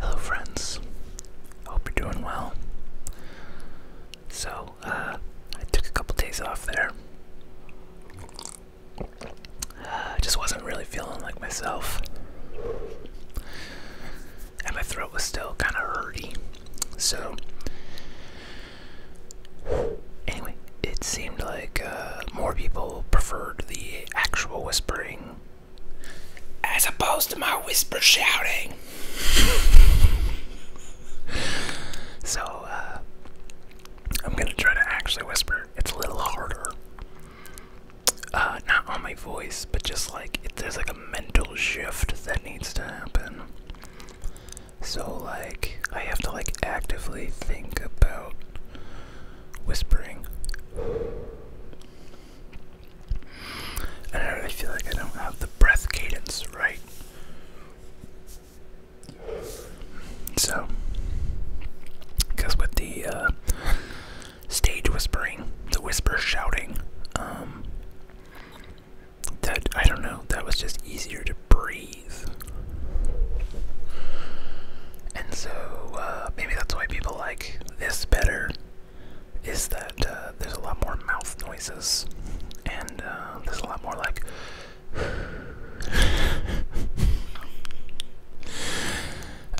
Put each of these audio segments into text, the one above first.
Hello, friends. Hope you're doing well. So, uh, I took a couple days off there. Uh, I just wasn't really feeling like myself. And my throat was still kind of hurty. So, anyway, it seemed like uh, more people preferred the actual whispering as opposed to my whisper shouting. so, uh, I'm gonna try to actually whisper. It's a little harder. Uh, not on my voice, but just like it, there's like a mental shift that needs to happen. So, like, I have to like actively think about whispering. And I really feel like I don't have the breath cadence right. So, because with the uh, stage whispering, the whisper shouting, um, that I don't know, that was just easier to breathe. And so uh, maybe that's why people like this better, is that uh, there's a lot more mouth noises, and uh, there's a lot more like.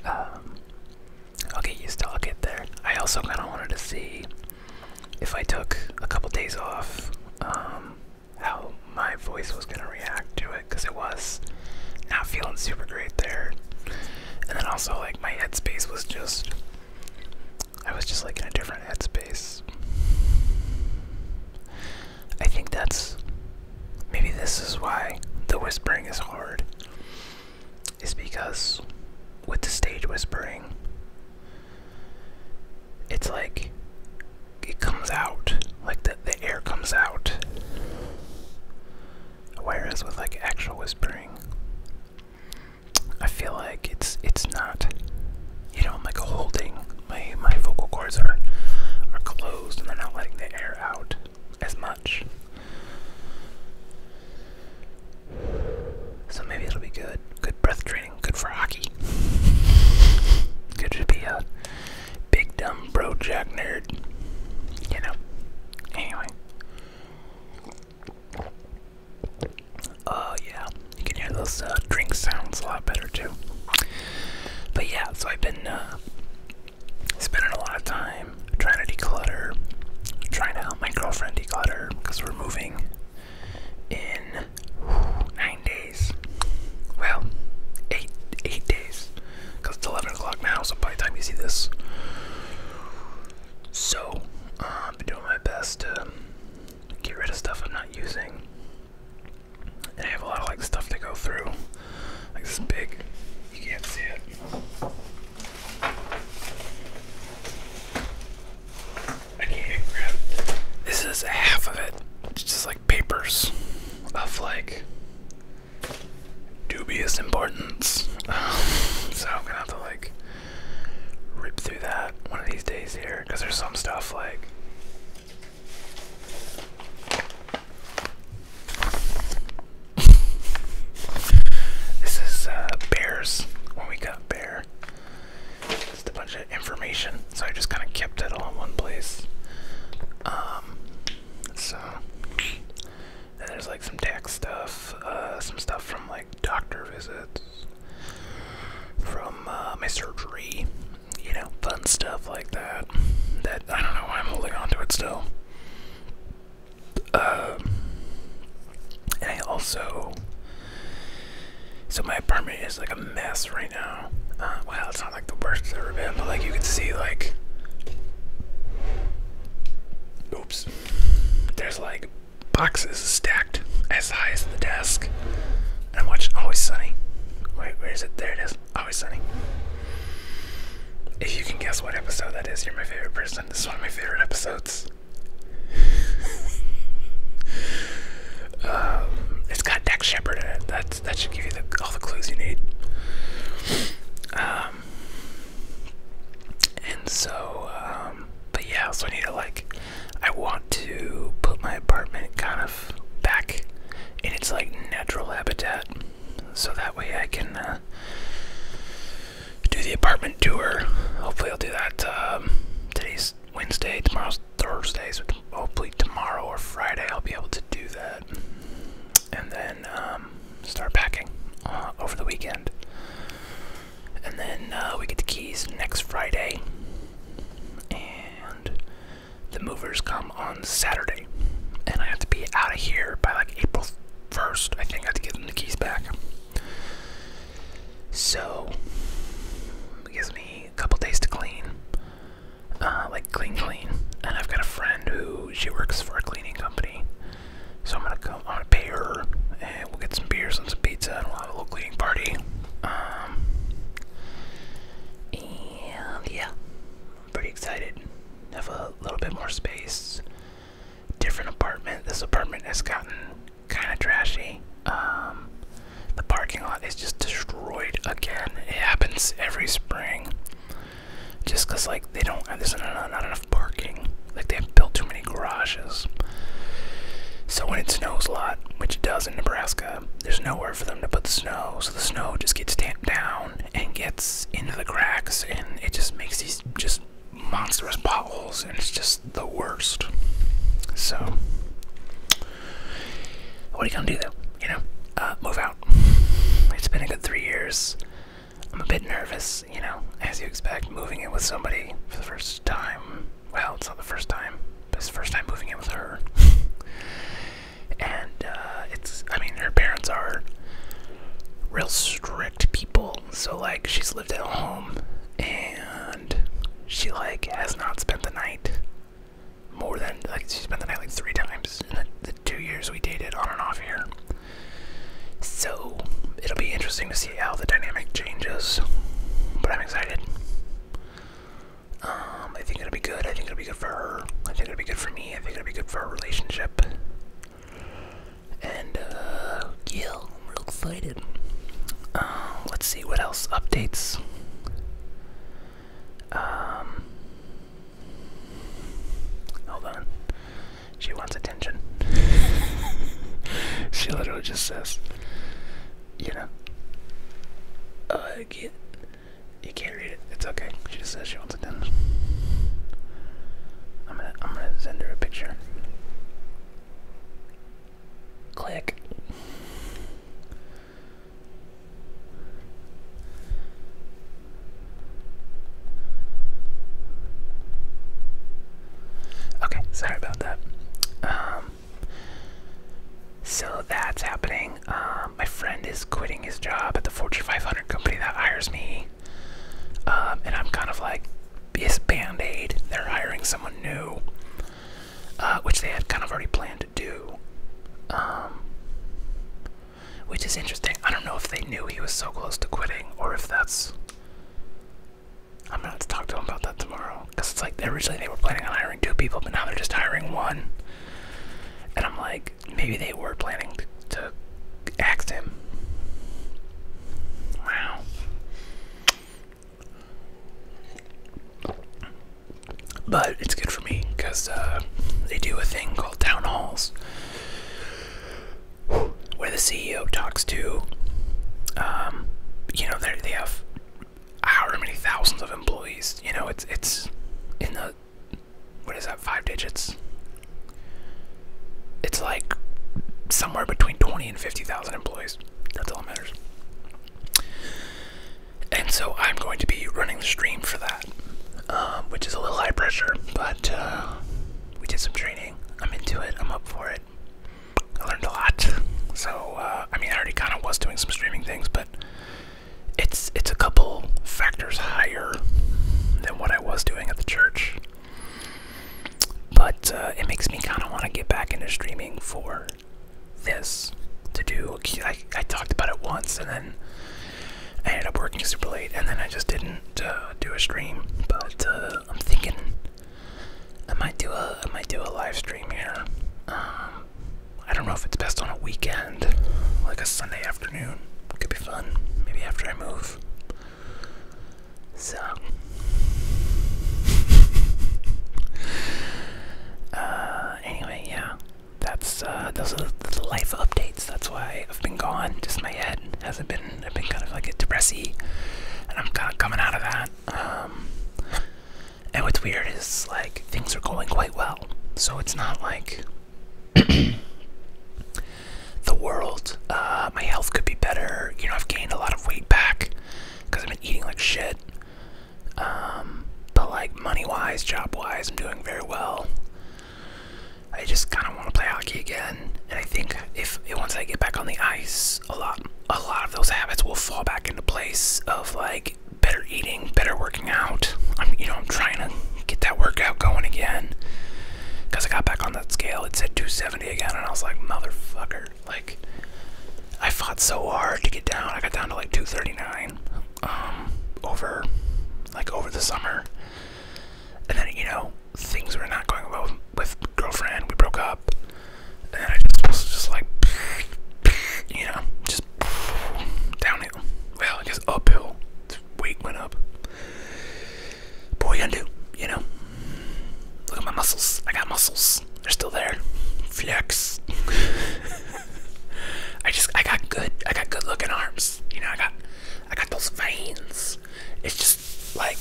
I'll get used to. I'll get there. I also kind of wanted to see if I took a couple days off, um, how my voice was gonna react to it because it was not feeling super great there. And then also like my headspace was just I was just like in a different headspace. I think that's maybe this is why the whispering is hard. Is because with the stage whispering, it's like it comes out like the, the air comes out whereas with like actual whispering i feel like it's it's not you know i'm like holding my my vocal cords are are closed and they're not letting the air out as much so maybe it'll be good good breath training good for hockey good to be out big dumb bro, jack nerd. You know. Anyway. Oh, yeah. You can hear those uh, drink sounds a lot better, too. But yeah, so I've been uh, spending a lot of time trying to declutter, trying to help my girlfriend declutter because we're moving in nine days. Well, eight eight days. Cause it's 11 o'clock now, so by the time you see this. So, i am um, doing my best to get rid of stuff I'm not using. And I have a lot of like stuff to go through. Like this big, you can't see it. I can't grab. This is half of it. It's just like papers of like dubious importance. so I'm gonna have to like rip through that one of these days here because there's some stuff like. this is uh, bears we got bear just a bunch of information. So I just kind of kept it all in one place. Um, so there's like some tax stuff, uh, some stuff from like doctor visits, from uh, my surgery, you know, fun stuff like that. That I don't know why I'm holding on to it still. Um, and I also so my apartment is like a mess right now. Uh, well, it's not like the worst ever been, but like you can see, like, oops, there's like boxes stacked as high as the desk. And I'm watching Always Sunny. Wait, where is it? There it is. Always Sunny. If you can guess what episode that is, you're my favorite person. This is one of my favorite episodes. Um, it's got Dex Shepard in it. That's, that should give you all the clues you need. Um, and so, um, but yeah, so I need to like, I want to put my apartment kind of back in its like natural habitat, so that way I can uh, do the apartment tour. Hopefully, I'll do that um, today's Wednesday, tomorrow. Thursdays, hopefully tomorrow or Friday, I'll be able to do that. And then um, start packing uh, over the weekend. And then uh, we get the keys next Friday. And the movers come on Saturday. And I have to be out of here by like April 1st. I think I have to give them the keys back. So, it me a couple days to clean, uh, like clean, clean. And I've got a friend who she works for a cleaning company, so I'm gonna go. I'm gonna pay her, and we'll get some beers and some pizza, and we'll have a little cleaning party. Um, and yeah, I'm pretty excited. Have a little bit more space, different apartment. This apartment has gotten kind of trashy. Um, the parking lot is just destroyed again. It happens every spring. Just because, like, they don't have, there's not, enough parking. Like, they have built too many garages. So, when it snows a lot, which it does in Nebraska, there's nowhere for them to put the snow. So, the snow just gets tamped down and gets into the cracks, and it just makes these just monstrous potholes, and it's just the worst. So, what are you gonna do though? You know, uh, move out. It's been a good three years. I'm a bit nervous, you know, as you expect, moving in with somebody for the first time. Well, it's not the first time, it's the first time moving in with her. and uh, it's, I mean, her parents are real strict people. So, like, she's lived at home and she like has not spent the night more than like she spent the night like three times in the, two years we dated on and off here. So it'll be interesting to see how the dynamic changes, but I'm excited. Um, I think it'll be good. I think it'll be good for her. I think it'll be good for me. I think it'll be good for our relationship. And uh, I'm excited. Uh, let's see what else updates. Um, hold on. She wants attention. she literally just says, you know, oh, I can't, you can't read it. It's okay. She just says she wants attention. I'm gonna, I'm gonna send her a picture. Click. Okay, sorry about that. Um, so that's happening. Um, my friend is quitting his job at the Fortune 500 company that hires me. Um, and I'm kind of like, is Band Aid. They're hiring someone new, uh, which they had kind of already planned to do. Um, which is interesting. I don't know if they knew he was so close to quitting or if that's. I'm gonna to talk to him about that tomorrow. Because it's like originally they were planning on hiring two people, but now they're just hiring one. And I'm like, maybe they were planning to axe him. Wow. But it's good for me because uh, they do a thing called town halls where the CEO talks to, um, you know, they have however many thousands of employees. You know, it's it's in the what is that five digits? It's like somewhere between 20 and 50,000 employees. That's all it matters. And so I'm going to be running the stream for that, um, which is a little high pressure, but uh, we did some training. I'm into it, I'm up for it. I learned a lot. So, uh, I mean, I already kind of was doing some streaming things, but it's it's a couple factors higher than what I was doing at the church. But uh, it makes me kind of want to get back into streaming for this to do. I, talked about it once and then I ended up working super late and then I just didn't uh, do a stream. But uh, I'm thinking I might do a I might do a live stream here. Um, I don't know if it's best on a weekend, like a Sunday afternoon. Could be fun. Maybe after I move. So, uh, anyway, yeah, that's uh, those are the life updates. That's why I've been gone. Just my head hasn't been. I've been kind of like a depressy, and I'm kind of coming out of that. Um, and what's weird is like things are going quite well, so it's not like. the world. Uh, my health could be better. You know, I've gained a lot of weight back because I've been eating like shit. Um, but like money wise, job wise, I'm doing very well. I just kind of want to play hockey again, and I think if once I get back on the ice, a lot, a lot of those habits will fall back into place of like better eating, better working out. I'm, you know, I'm trying to get that workout going again. Because I got back on that scale, it said 270 again, and I was like, motherfucker. Like, I fought so hard to get down. I got down to like 239 um, over, like, over the summer. And then, you know, things were not going well with girlfriend. We broke up. And I just was just like, you know, just downhill. Well, I uphill. Weight went up. Boy, what do? You know? Look at my muscles. I got muscles. They're still there. Flex. I just I got good I got good looking arms. You know, I got I got those veins. It's just like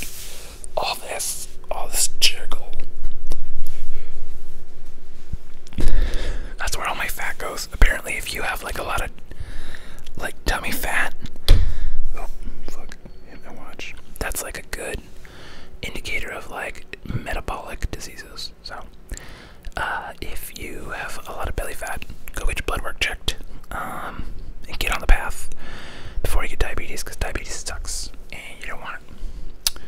all this all this jiggle. That's where all my fat goes. Apparently if you have like a lot of like tummy fat. Oh, that's like a good indicator of like metabolic diseases. So, uh, if you have a lot of belly fat, go get your blood work checked um, and get on the path before you get diabetes because diabetes sucks and you don't want it.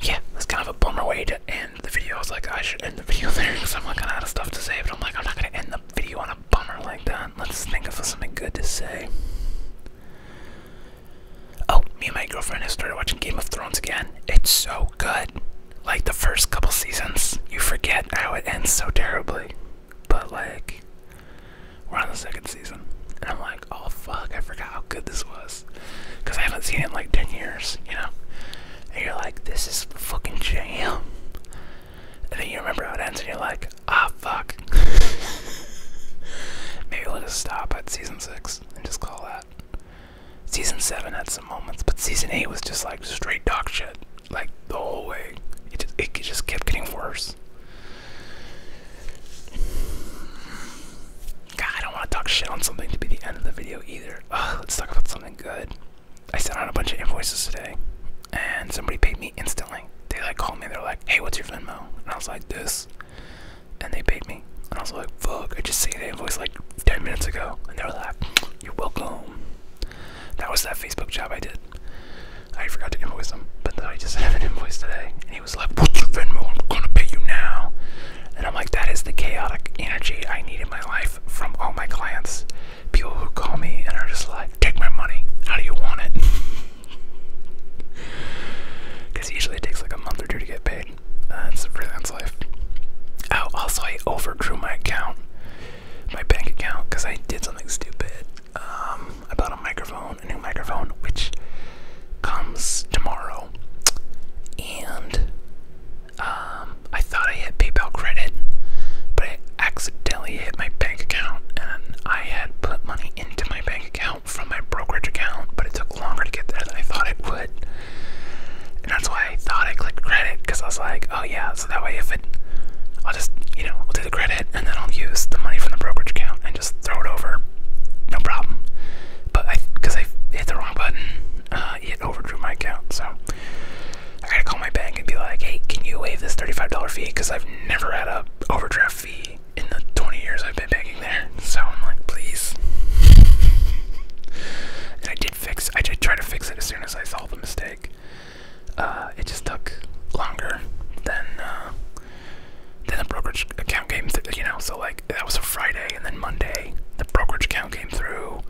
Yeah, that's kind of a bummer way to end the video. I was like, I should end the video there because I'm like, I'm out of stuff to say. But I'm like, I'm not gonna end the video on a bummer like that. Let's think of something good to say. Oh, me and my girlfriend have started watching Game of Thrones again. It's so good. Like the first couple seasons, you forget how it ends so terribly. But like, we're on the second season, and I'm like, oh fuck, I forgot how good this was, because I haven't seen it in like ten years, you know and you're like, this is fucking jam. And then you remember how it ends, and you're like, ah, fuck. Maybe let us stop at season six and just call that. Season seven had some moments, but season eight was just like straight dog shit, like the whole way. It just, it just kept getting worse. God, I don't want to talk shit on something to be the end of the video either. let's talk about something good. I sent out a bunch of invoices today, and somebody paid me instantly. They like called me. They're like, "Hey, what's your Venmo?" And I was like, "This," and they paid me. And I was like, "Fuck! I just sent an invoice like 10 minutes ago." And they were like, "You're welcome." That was that Facebook job I did. I forgot to invoice them, but I just have an invoice today, and he was like, "What's your Venmo? I'm gonna pay you now." And I'm like, "That is the chaotic energy I need in my life from all my clients. People who call me and are just like, take my money. How do you want it? Because usually it takes like a month or two to get paid. Uh, it's a freelance life. Oh, also, I overdrew my account, my bank account, because I did something stupid. Um, I bought a microphone, a new microphone, which comes tomorrow. And um, I thought I hit PayPal credit, but I accidentally hit my bank account, and I had put money into my bank account from my brokerage account, but it took longer to get there than I thought it would. And that's why I thought I clicked credit, because I was like, oh yeah, so that way if it, I'll just, you know, I'll do the credit, and then I'll use the money from the brokerage account and just throw it over, no problem. But I, because I hit the wrong button, uh, uh, it overdrew my account. So I gotta call my bank and be like, hey, can you waive this $35 fee? Because I've never had a overdraft fee in the 20 years I've been banking there. So I'm like, please. and I did fix, I did try to fix it as soon as I saw the mistake. Uh, it just took longer than uh, than the brokerage account game. You know, so like that was a Friday, and then Monday the brokerage account came through,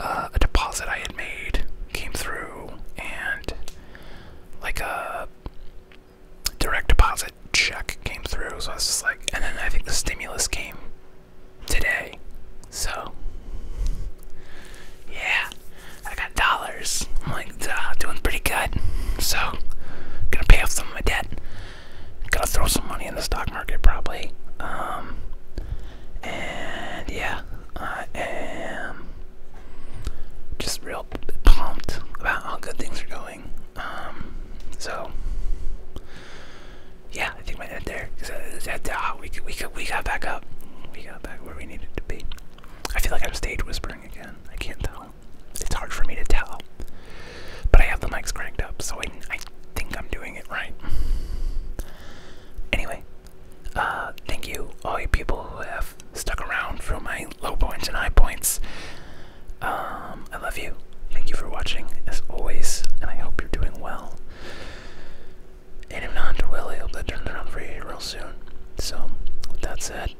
uh, a deposit I had made came through, and like a direct deposit check came through. So I was just like, and then I think the stimulus came today. So, yeah, I got dollars. I'm like, doing pretty good. So, gonna pay off some of my debt. Gotta throw some money in the stock market, probably. Um, and yeah, I am just real pumped about how good things are going. Um, so yeah, I think my head there. Cause uh, ah, we we we got back up. We got back where we needed to be. I feel like I'm stage whispering again. I can't tell. It's hard for me to tell. But I have the mics cranked up, so I, think I'm doing it right. Anyway, uh, thank you, all you people who have stuck around for my low points and high points. Um, I love you. Thank you for watching, as always, and I hope you're doing well. And if not, well, I hope that turns around for you real soon. So, with that said,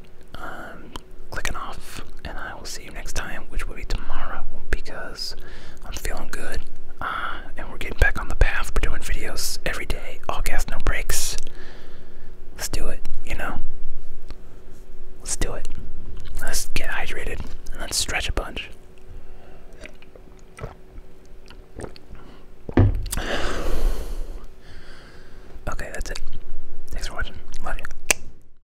clicking off, and I will see next time, which will be tomorrow, because I'm feeling good, uh, and we're getting back on the path. We're doing videos every day, all gas, no breaks. Let's do it, you know? Let's do it. Let's get hydrated, and let's stretch a bunch. Okay, that's it. Thanks for watching. Love you.